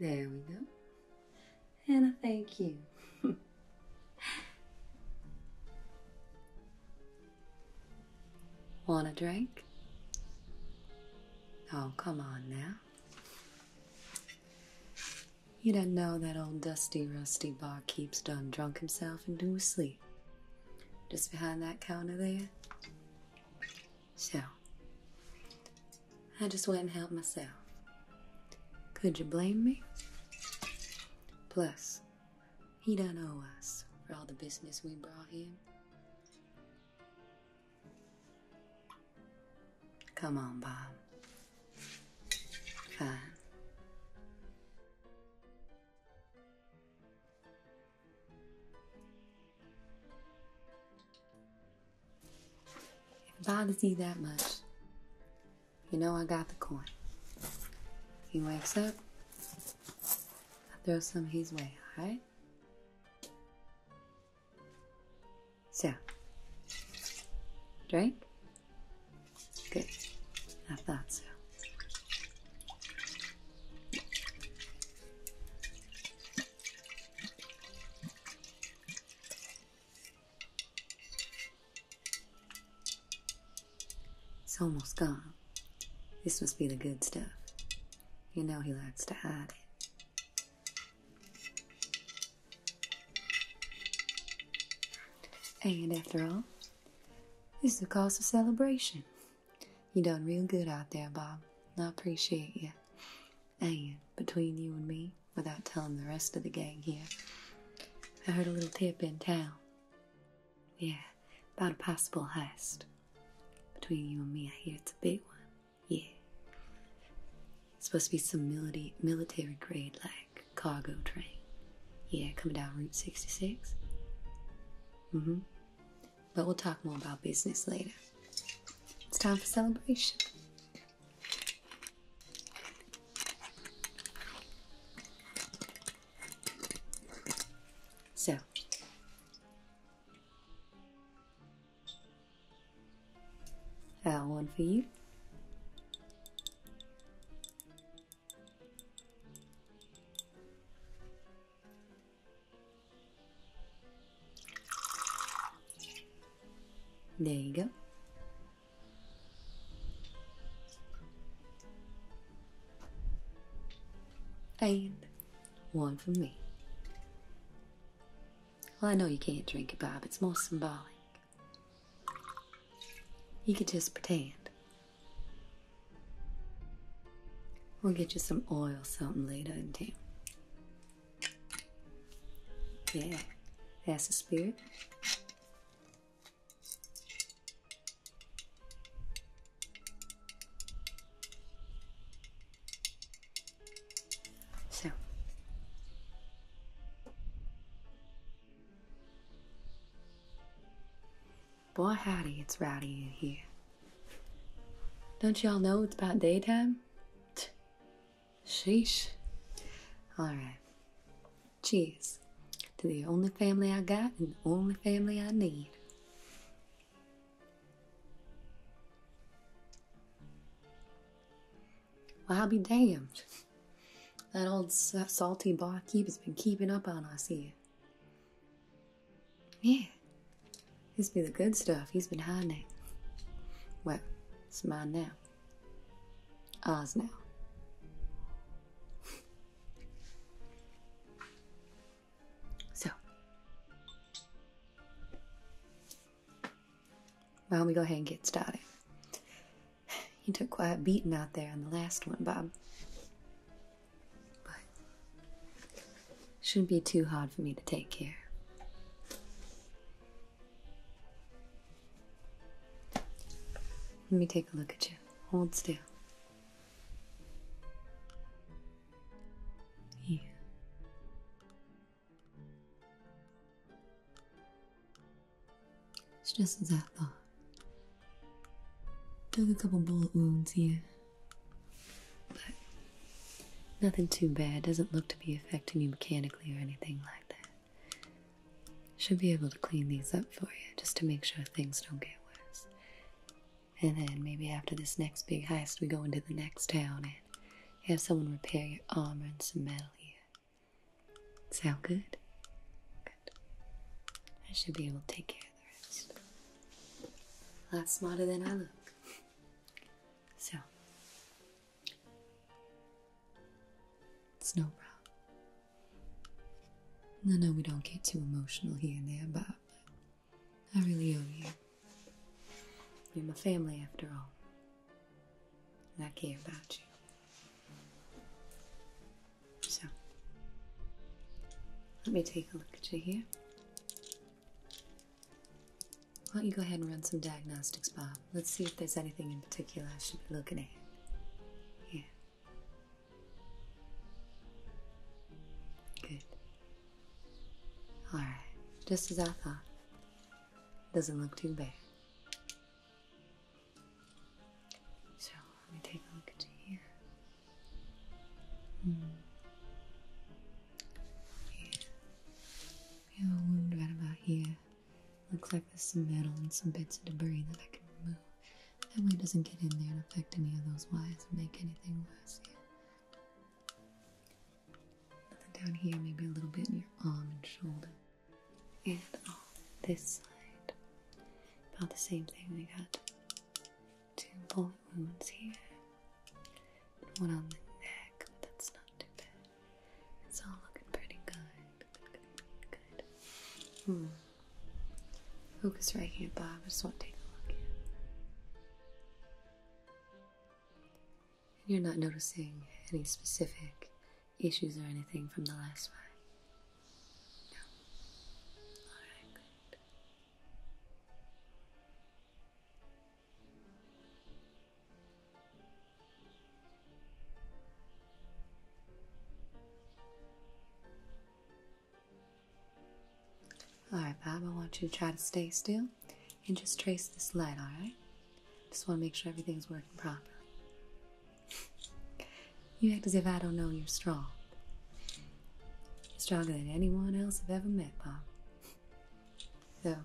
There we go. Hannah, thank you. Want a drink? Oh, come on now. You don't know that old dusty, rusty bar keeps done drunk himself into a sleep. Just behind that counter there. So, I just went and helped myself. Could you blame me? Plus, he done owe us for all the business we brought him. Come on, Bob. Fine. it bothers you that much, you know I got the coin. He wakes up. I throw some his way, alright? So, drink? Good. I thought so. It's almost gone. This must be the good stuff. You know he likes to hide it. And after all, it's is a cause of celebration. You done real good out there, Bob. I appreciate you. And between you and me, without telling the rest of the gang here, I heard a little tip in town. Yeah, about a possible heist. Between you and me, I hear it's a big one. Yeah. supposed to be some military, military grade, like, cargo train. Yeah, coming down Route 66. Mm hmm. But we'll talk more about business later. It's time for celebration. So, that uh, one for you. There you go. And one for me. Well, I know you can't drink it, Bob. It's more symbolic. You could just pretend. We'll get you some oil something later in Yeah, that's the spirit. So Boy howdy, it's rowdy in here. Don't y'all know it's about daytime? Sheesh. Alright. Cheers to the only family I got and the only family I need. Well, I'll be damned. That old salty barkeep has been keeping up on us here. Yeah, he's been the good stuff. He's been hiding it. Well, it's mine now. Ours now. so, why don't we go ahead and get started? You took quite a beating out there on the last one, Bob. But shouldn't be too hard for me to take care. Let me take a look at you. Hold still. Yeah. It's just as I thought. Took a couple bullet wounds here. But nothing too bad. Doesn't look to be affecting you mechanically or anything like that. Should be able to clean these up for you just to make sure things don't get worse. And then maybe after this next big heist, we go into the next town and have someone repair your armor and some metal here. Sound good? Good. I should be able to take care of the rest. A lot smarter than I look. So, Snowbrow. No, no, we don't get too emotional here and there, Bob, but I really owe you. You're my family after all. And I care about you. So, let me take a look at you here. Why don't you go ahead and run some diagnostics, Bob? Uh, let's see if there's anything in particular I should be looking at. Yeah. Good. Alright, just as I thought. Doesn't look too bad. So, let me take a look at you here. Mm. Yeah. We have a wound right about here. Looks like there's some metal and some bits of debris that I can remove. That way it doesn't get in there and affect any of those wires or make anything worse here. Nothing down here, maybe a little bit in your arm and shoulder. And on this side, about the same thing. We got two bullet wounds here, one on the neck, but that's not too bad. It's all looking pretty good. Focus right here, Bob. I just want to take a look. And you're not noticing any specific issues or anything from the last five. No. Alright, Bob, I want you to try to stay still and just trace this light, alright? Just want to make sure everything's working properly. You act as if I don't know you're strong. stronger than anyone else I've ever met, Bob. So,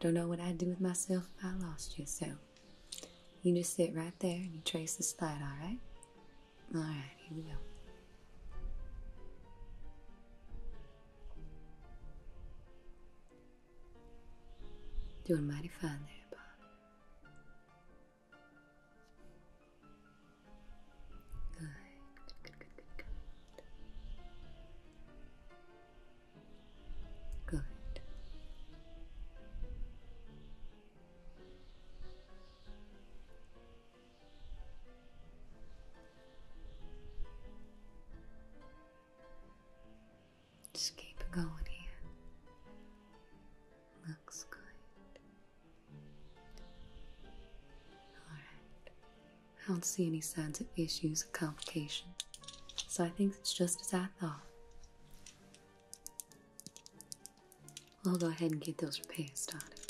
don't know what I'd do with myself if I lost you, so you just sit right there and you trace the light, alright? Alright, here we go. Doing mighty fine there, Bob. Good, good, good, good, good. Good. Just keep going here. Looks good. Alright. I don't see any signs of issues or complications, so I think it's just as I thought. I'll go ahead and get those repairs started,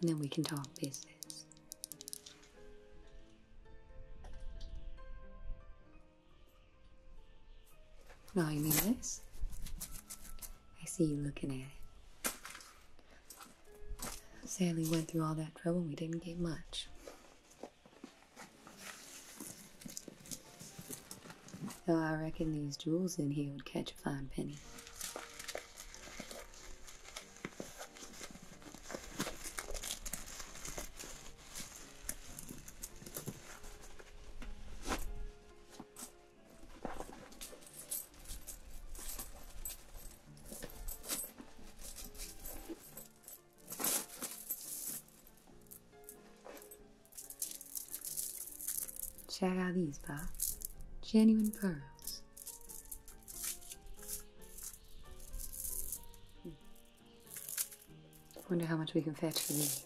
and then we can talk business. Now you this? I see you looking at it. Sally went through all that trouble. and We didn't get much. Oh, I reckon these jewels in here would catch a flying penny. Check out these, Pop. Genuine pearls. Hmm. Wonder how much we can fetch for these.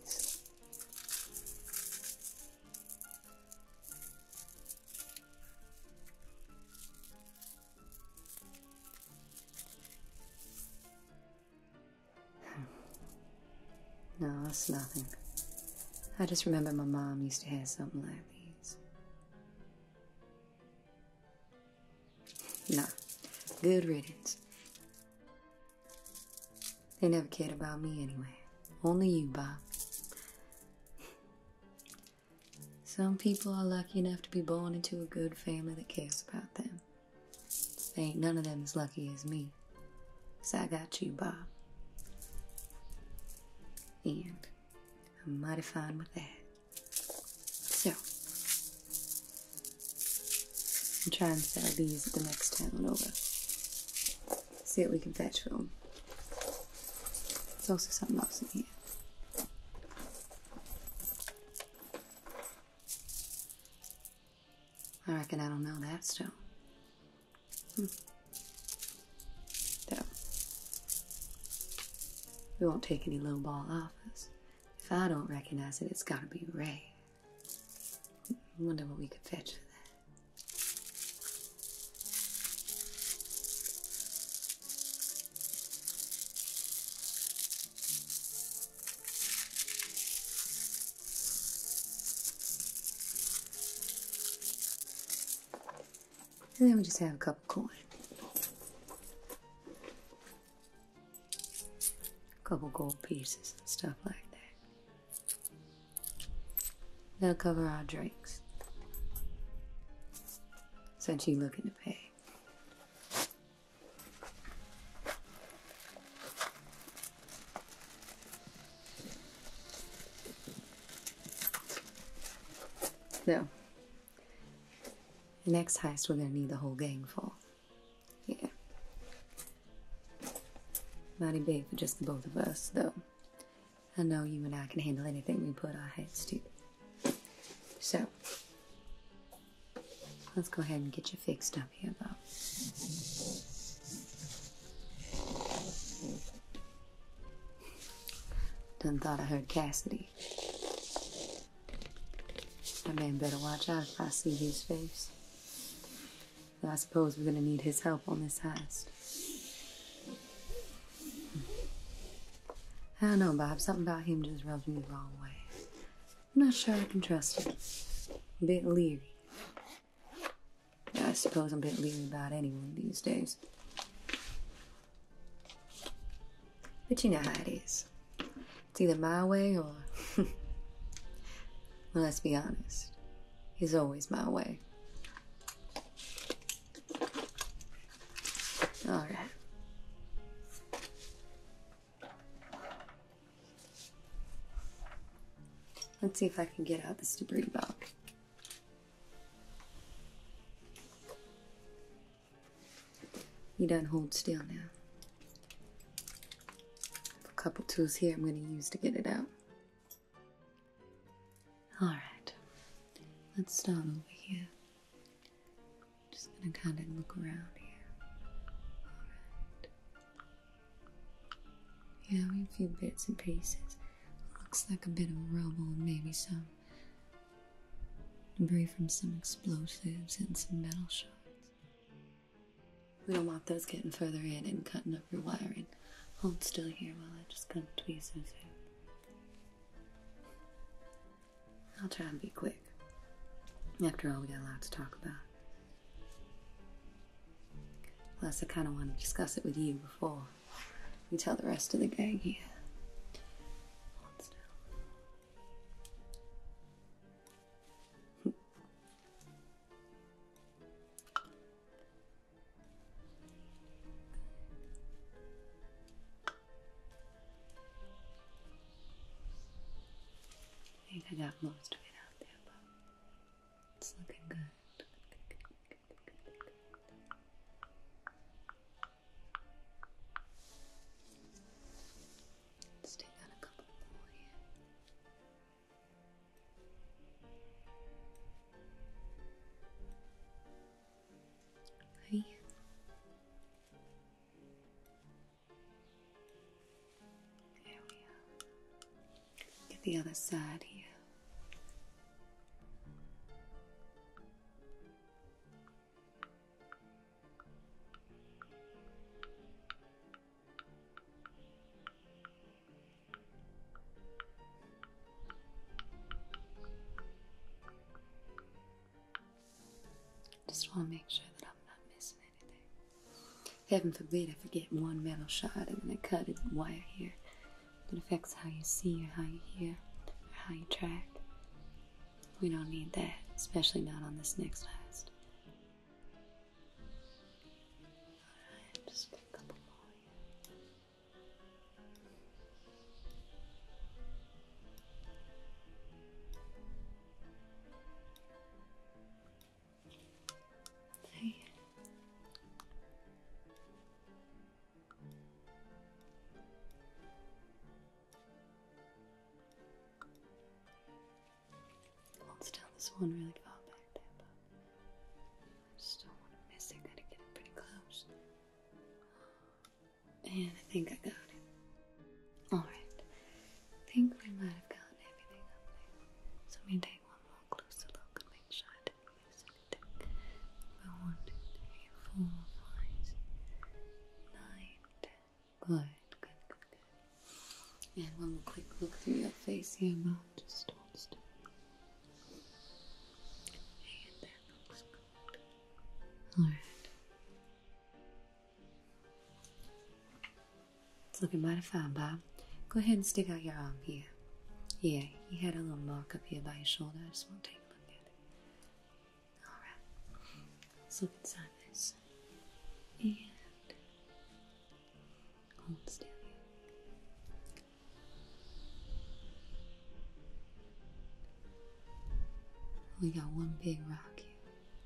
No, it's nothing. I just remember my mom used to have something like these. No, good riddance. They never cared about me anyway. Only you, Bob. Some people are lucky enough to be born into a good family that cares about them. They ain't none of them as lucky as me. So I got you, Bob. And I'm mighty fine with that. So, I'm trying to sell these at the next town over. See if we can fetch them. There's also something else in here. I reckon I don't know that still. Hmm. we won't take any low ball offers. If I don't recognize it, it's gotta be Ray. Hmm, wonder what we could fetch for that. And then we just have a cup of coins, A couple gold pieces and stuff like that. That'll cover our drinks. Since you are looking to pay. No. next heist we're gonna need the whole gang for. Yeah. Mighty big just the both of us, though. I know you and I can handle anything we put our heads to. So, Let's go ahead and get you fixed up here, though. Done thought I heard Cassidy. I man better watch out if I see his face. I suppose we're gonna need his help on this heist. I don't know, Bob. Something about him just rubs me the wrong way. I'm not sure I can trust him. a bit leery. I suppose I'm a bit leery about anyone these days. But you know how it is. It's either my way or. well, let's be honest. He's always my way. Alright. Let's see if I can get out this debris block. You don't hold still now. A couple tools here I'm going to use to get it out. Alright, let's start over here. I'm just gonna kind of look around here. Yeah, we have a few bits and pieces. Looks like a bit of rubble and maybe some debris from some explosives and some metal shards. We don't want those getting further in and cutting up your wiring. Hold still here while I just kind of tweeze those out. I'll try and be quick. After all, we got a lot to talk about. Plus, I kind of want to discuss it with you before we tell the rest of the gang here. I think I got most of it out there, but it's looking good. Let's take out a couple more here. Hi. There we Get the other side here. Just want to make sure that I'm not missing anything. Heaven forbid I forget one metal shard and then I cut it wire here. It affects how you see or how you hear or how you track. We don't need that, especially not on this next last. Alright, just a couple more Hey. Hold still, this one really far but I just don't want to miss it. Gotta get it pretty close. And I think I got it. Alright. think we might have got everything up there. So we take one more closer look and make sure I didn't miss anything. Good, good, good, And one quick look through your face here, mouth. Just hold still. And that looks Alright. It's looking mighty fine, Bob. Go ahead and stick out your arm here. Yeah, you had a little mark up here by your shoulder. I just want to take a look at it. Alright. Let's look inside this. And hold still We got one big rock here.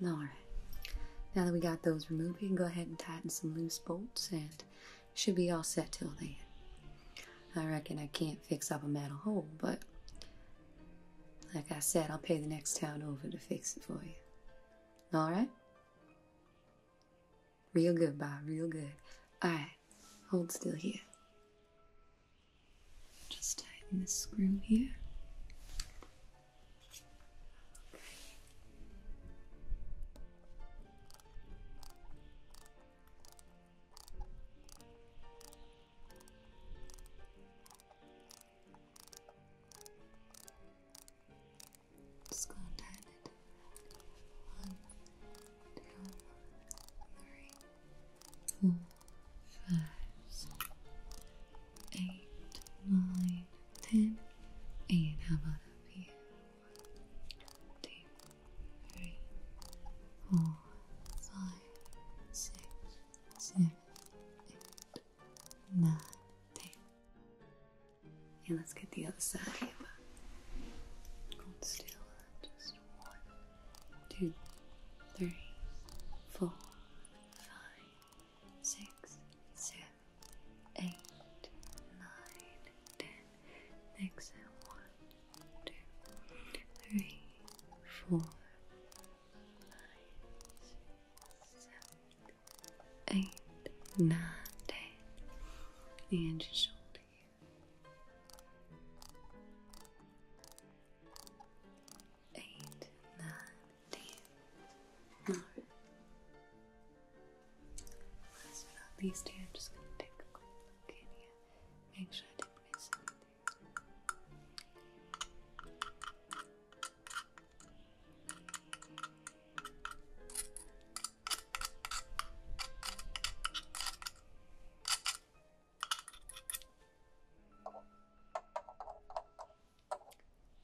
Alright, now that we got those removed, we can go ahead and tighten some loose bolts and should be all set till then. I reckon I can't fix up a metal hole, but like I said, I'll pay the next town over to fix it for you. Alright? Real good, Bob, real good. Alright, hold still here. Just tighten this screw here. Just gonna time it. One, two, three, four, five, six, eight, nine, ten. And how about a here? One, two, three, four, five, six, seven, eight, nine, ten. Yeah, let's get the other side. Hold one, two, three, four, five, six, seven, eight, nine, ten exhale one, two, three, four, five, six, seven, eight, nine, ten, and your shoulder here. Eight, nine, ten. Last but not least, here, I'm just going to take a quick look in here. Make sure I did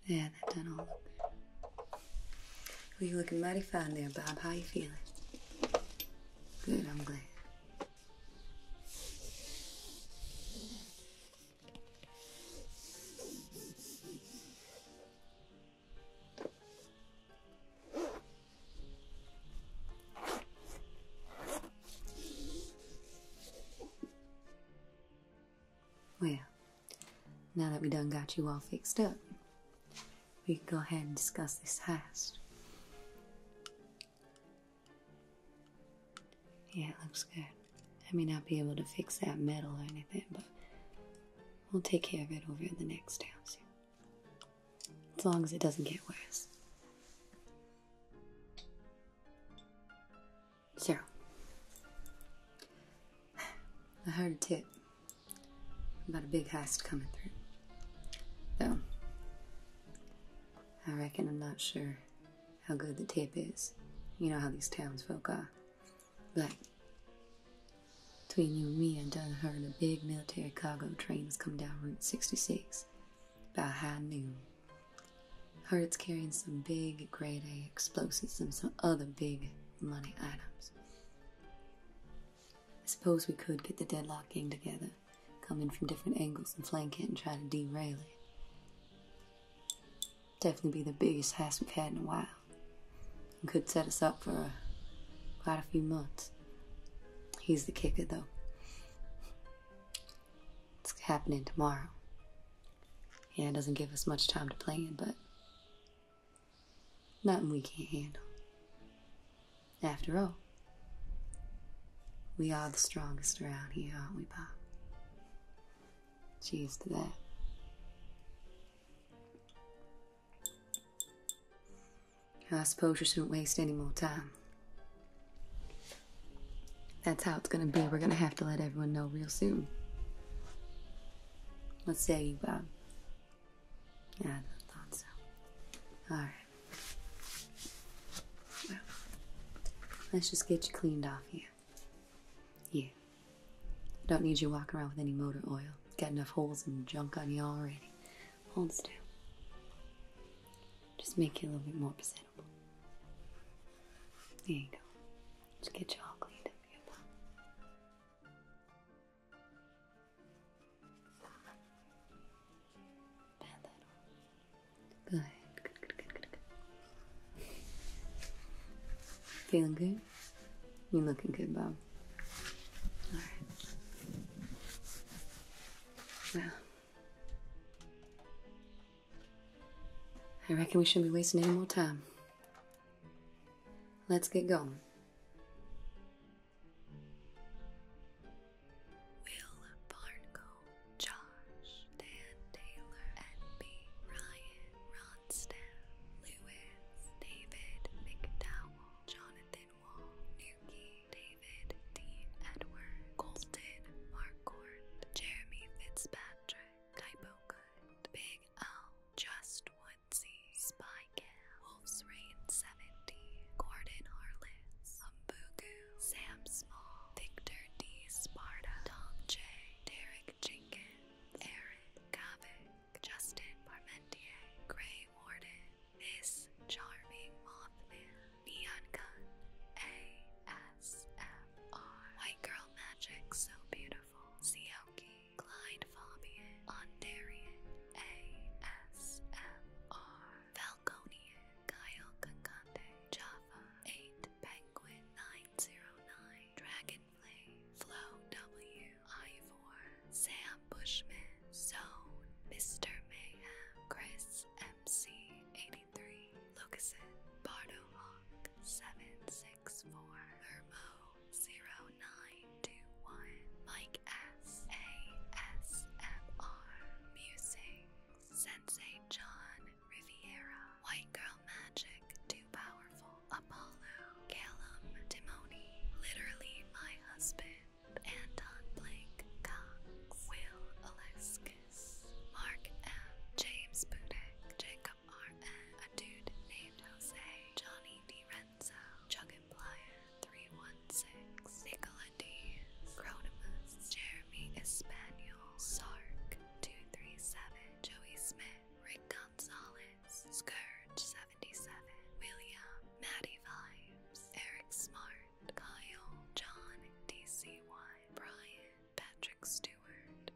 yeah, they done all of you're looking mighty fine there, Bob. How you feeling? Good, I'm glad. Well, now that we done got you all fixed up, we can go ahead and discuss this test. Yeah, it looks good. I may not be able to fix that metal or anything, but we'll take care of it over in the next house. As long as it doesn't get worse. So, I heard a tip about a big heist coming through. Though, I reckon I'm not sure how good the tip is. You know how these townsfolk are. But, between you and me, I done heard a big military cargo train has come down Route 66 about high noon. Heard it's carrying some big grade A explosives and some other big money items. I suppose we could get the deadlock gang together Coming from different angles and flank it and try to derail it. Definitely be the biggest house we've had in a while. could set us up for quite a few months. He's the kicker, though. It's happening tomorrow. Yeah, it doesn't give us much time to plan, but nothing we can't handle. After all, we are the strongest around here, aren't we, Pa? Cheers to that. I suppose you shouldn't waste any more time. That's how it's gonna be. We're gonna have to let everyone know real soon. Let's say you, um, yeah, I thought so. Alright. let's just get you cleaned off here. Yeah. Don't need you walking around with any motor oil. Got enough holes and junk on you already. Hold still. Just make you a little bit more presentable. There you go. Let's get you all cleaned up here, Good. Good, Feeling good? You looking good, Bob. Alright. I reckon we shouldn't be wasting any more time. Let's get going. Will Barnco, Josh, Dan Taylor, N.B. Ryan, Ronstadt, Lewis, David McDowell, Jonathan Wall, Nuki, David D. Edward, Colton Marcourt, Jeremy Fitzpatrick, Typo Good, Big L, Just Woodsy, Spy Wolf's Rain 70, Gordon Harless, Umbugu, Sam Small, Victor D. Sparta, Tom J, Derek Jenkins, Eric Kavik, Justin Parmentier, Gray Warden, Miss Charming Mothman, Neon Gun, White Girl Magic So Beautiful, Sioki, Clyde Fabian, Ondarian, ASMR. Valconia Kyle Kakande, Java, 8, Penguin 909, Dragonfly, Flo W, I Four Sam Bushman, Zone, Mr. Mayhem, Chris MC 83, Lucasen, Bardo Hawk, 764, Hermo 09, two, one. Mike S. A. S. M. R. Music Sensei John Riviera. White Girl Magic. Too powerful. Apollo. Callum Timoni. Literally my husband. Anton Blake Cox. Will Aleskis. Mark M. James Budek. Jacob R. N. A dude named Jose. Johnny D. Ren Senza, uh, and Blair, 316, Nicola D, Cronimus, Jeremy Espanol, Sark, 237, Joey Smith, Rick Gonzalez, Scourge, 77, William, Maddie Vibes, Eric Smart, Kyle, John, DCY, Brian, Patrick Stewart.